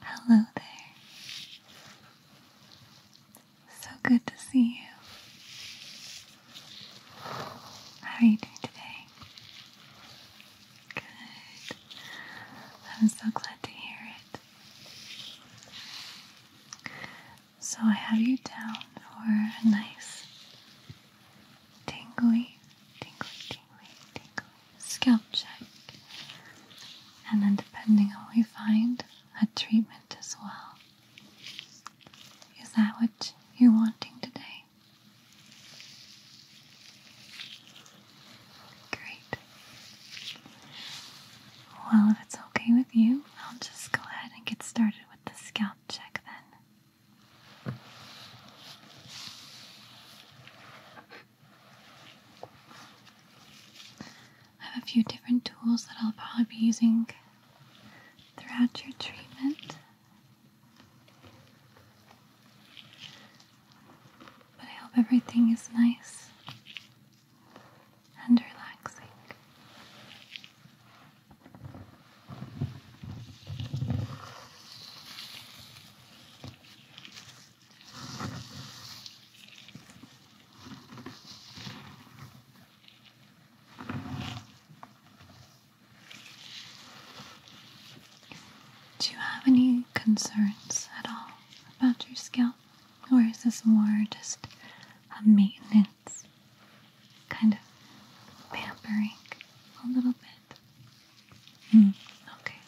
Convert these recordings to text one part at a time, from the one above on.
Hello there. So good to see you. How are you doing today? Good. I'm so glad to hear it. So I have you down for a nice tingly, tingly, scalp check. And then, depending on what we find, a treatment as well. Is that what you're wanting today? Great. Well, if it's okay with you, I'll just go ahead and get started with the scalp check then. I have a few different tools that I'll probably be using throughout your treatment. But I hope everything is nice and relaxing. Do you have any concerns at all about your scalp? Or is this more just a maintenance kind of pampering a little bit? Hmm, okay.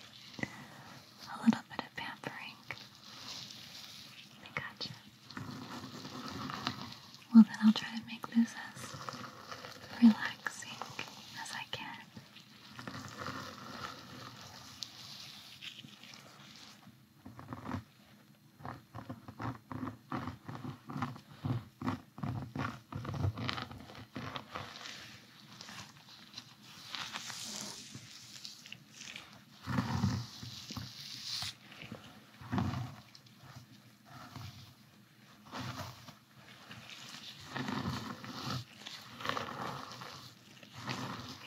A little bit of pampering. I gotcha. Well, then I'll try to make this as relaxing as I can.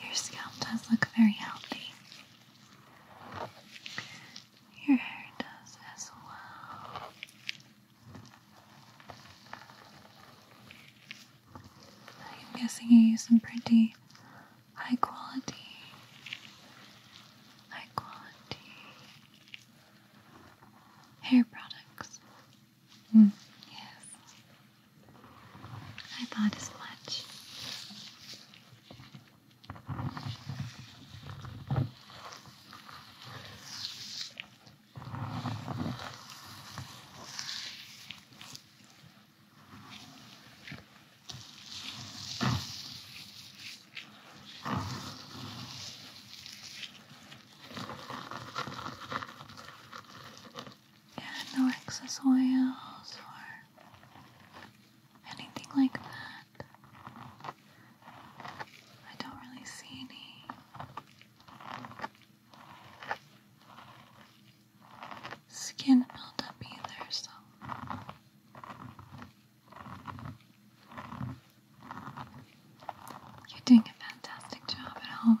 Your scalp does look very healthy. Your hair does as well. I'm guessing you use some pretty high quality, high quality hair products. Hmm. Yes, I thought as much. Yeah, no excess oils or anything like that. I don't really see any skin build either, so you're doing a fantastic job at home.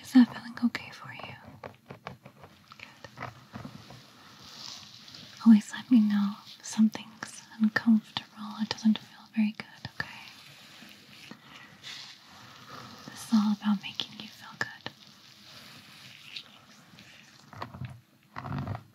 Is that feeling okay for you? Good. Always let me know if something's uncomfortable. It doesn't feel very good, okay? This is all about making you feel good.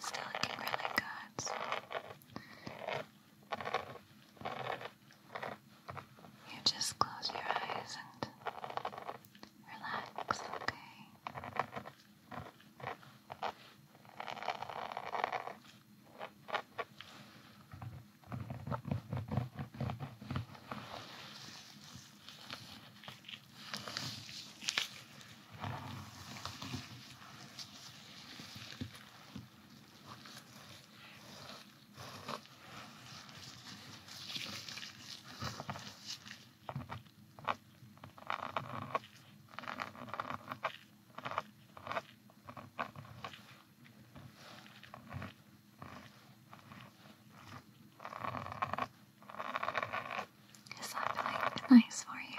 Still looking really good. You just close your eyes and relax, okay? Is that feeling nice for you?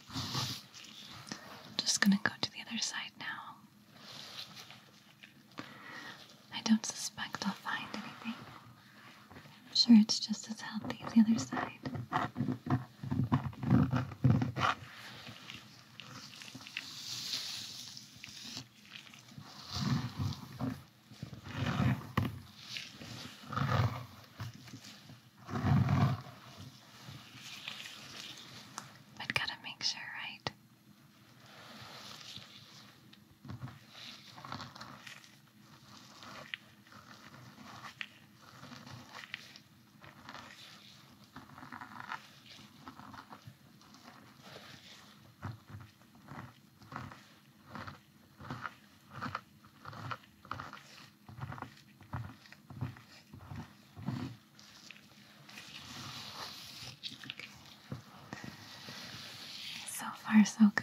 I'm just gonna go to the other side now. I don't suspect I'll find anything. I'm sure it's just as healthy as the other side. But gotta make sure, right? So far, so good.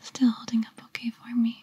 Still holding up okay for me.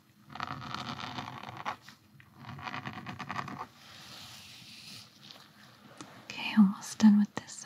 Okay, almost done with this side.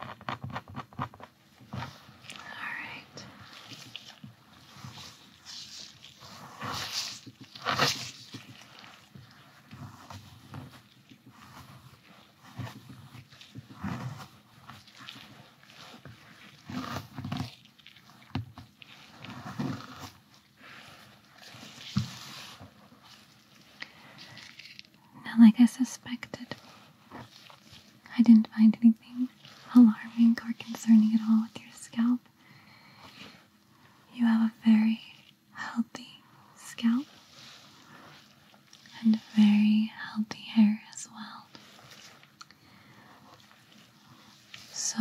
Alright. Now, like I suspected, I didn't find anything alarming or concerning at all with your scalp. You have a very healthy scalp and very healthy hair as well. So,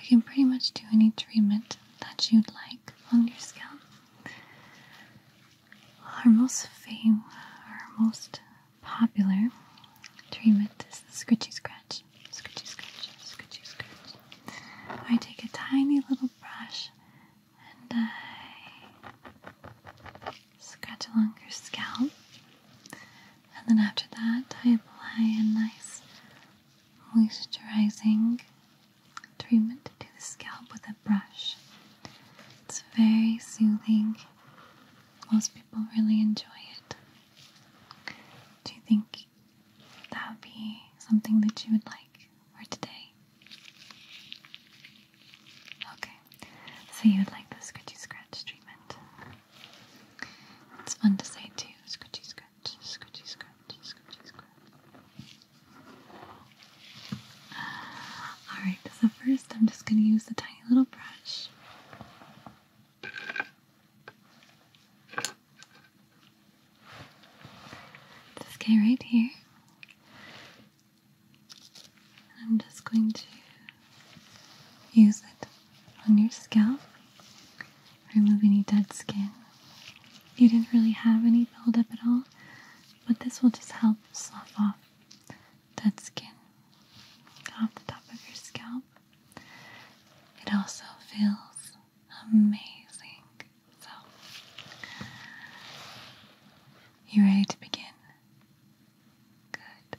we can pretty much do any treatment that you'd like on your scalp. Our most famous, our most popular treatment is the scritchy scratch. Scritchy scratch, scritchy scratch. I take a tiny little brush and I scratch along your scalp. And then after that, I apply a nice moisturizing treatment to the scalp with a brush. It's very soothing most people really enjoy it. Do you think that would be something that you would like for today? Okay, so you would like the scratchy scratch treatment. It's fun to say too scratchy scratch, scratchy scratch, scratchy scratch. Alright, so first I'm just going to use the tiny little brush. This guy right here. I'm just going to use it on your scalp, remove any dead skin. You didn't really have any buildup at all, but this will just help slough off that skin off the top of your scalp. It also feels amazing. So, you ready to begin? Good.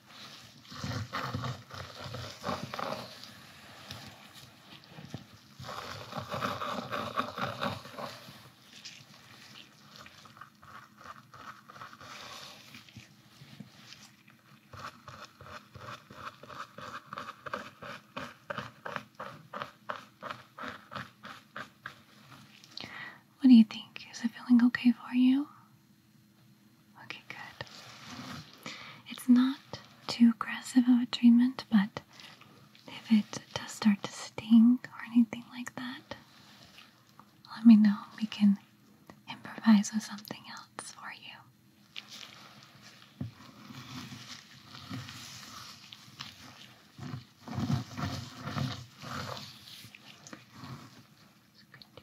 What do you think? Is it feeling okay for you? Okay, good. It's not too aggressive of a treatment, but if it does start to sting or anything like that, let me know. We can improvise with something else for you. Good.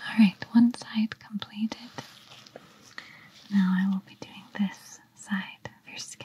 All right, one side completed. Now I will be doing this side of your scalp.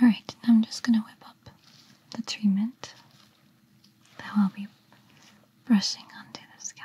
Alright, I'm just going to whip up the treatment that I'll be brushing onto the scalp.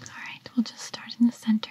Alright, we'll just start in the center.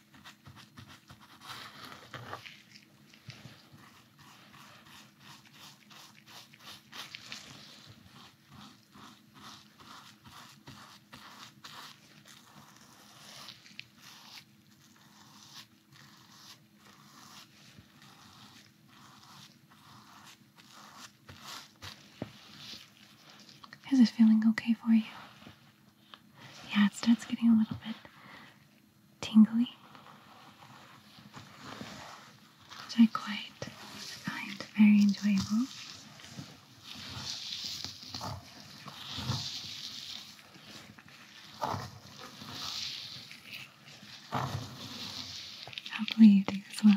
Is it feeling okay for you? Yeah, it starts getting a little bit tingly. Which I quite find very enjoyable. Hopefully you do as well.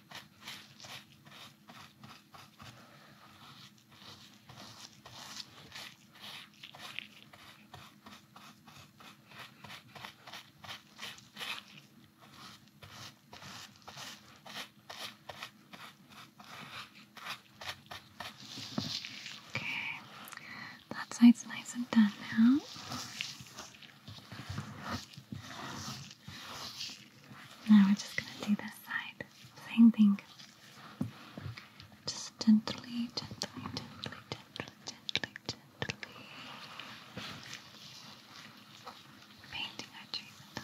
Okay, that side's nice and done now. Now we're just going to do this side. Same thing. Just gently, gently, gently, gently, gently, gently. Painting our treatment on.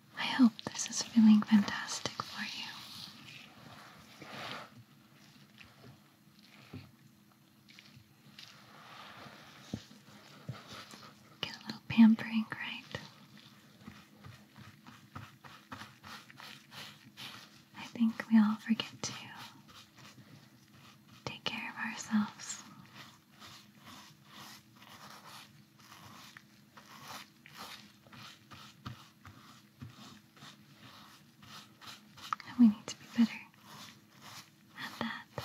I hope this is feeling fantastic for you. Get a little pampering, right? I think we all forget to take care of ourselves. And we need to be better at that.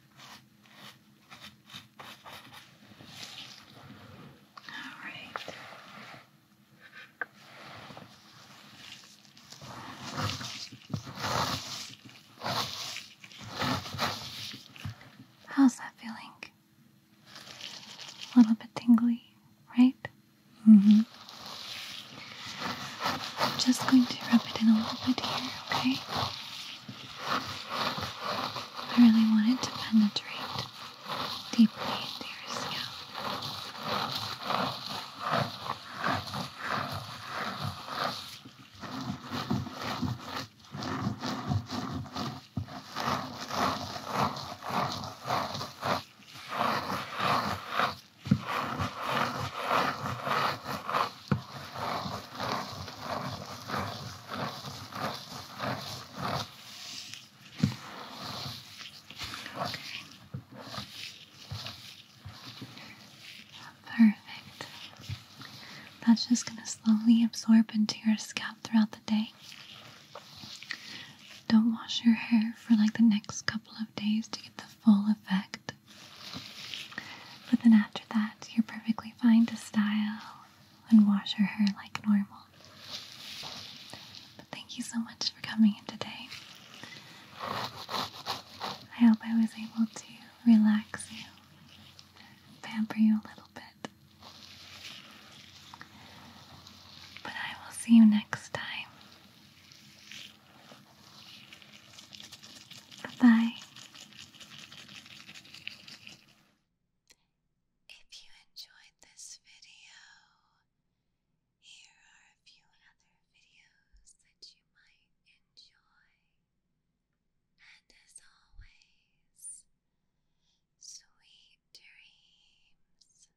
All right. How's that feeling? A little bit tingly, right? hmm. I'm just going to rub it in a little bit here, okay? I really want it to penetrate deeply into your scalp. Perfect. That's just going to slowly absorb into your scalp throughout the day. Don't wash your hair for like the next couple of days to get the full effect. But then after that, you're perfectly fine to style and wash your hair like normal. But thank you so much for coming in today. I hope I was able to relax you, pamper you a little bit. But I will see you next time. Bye. If you enjoyed this video, here are a few other videos that you might enjoy. And as always, sweet dreams.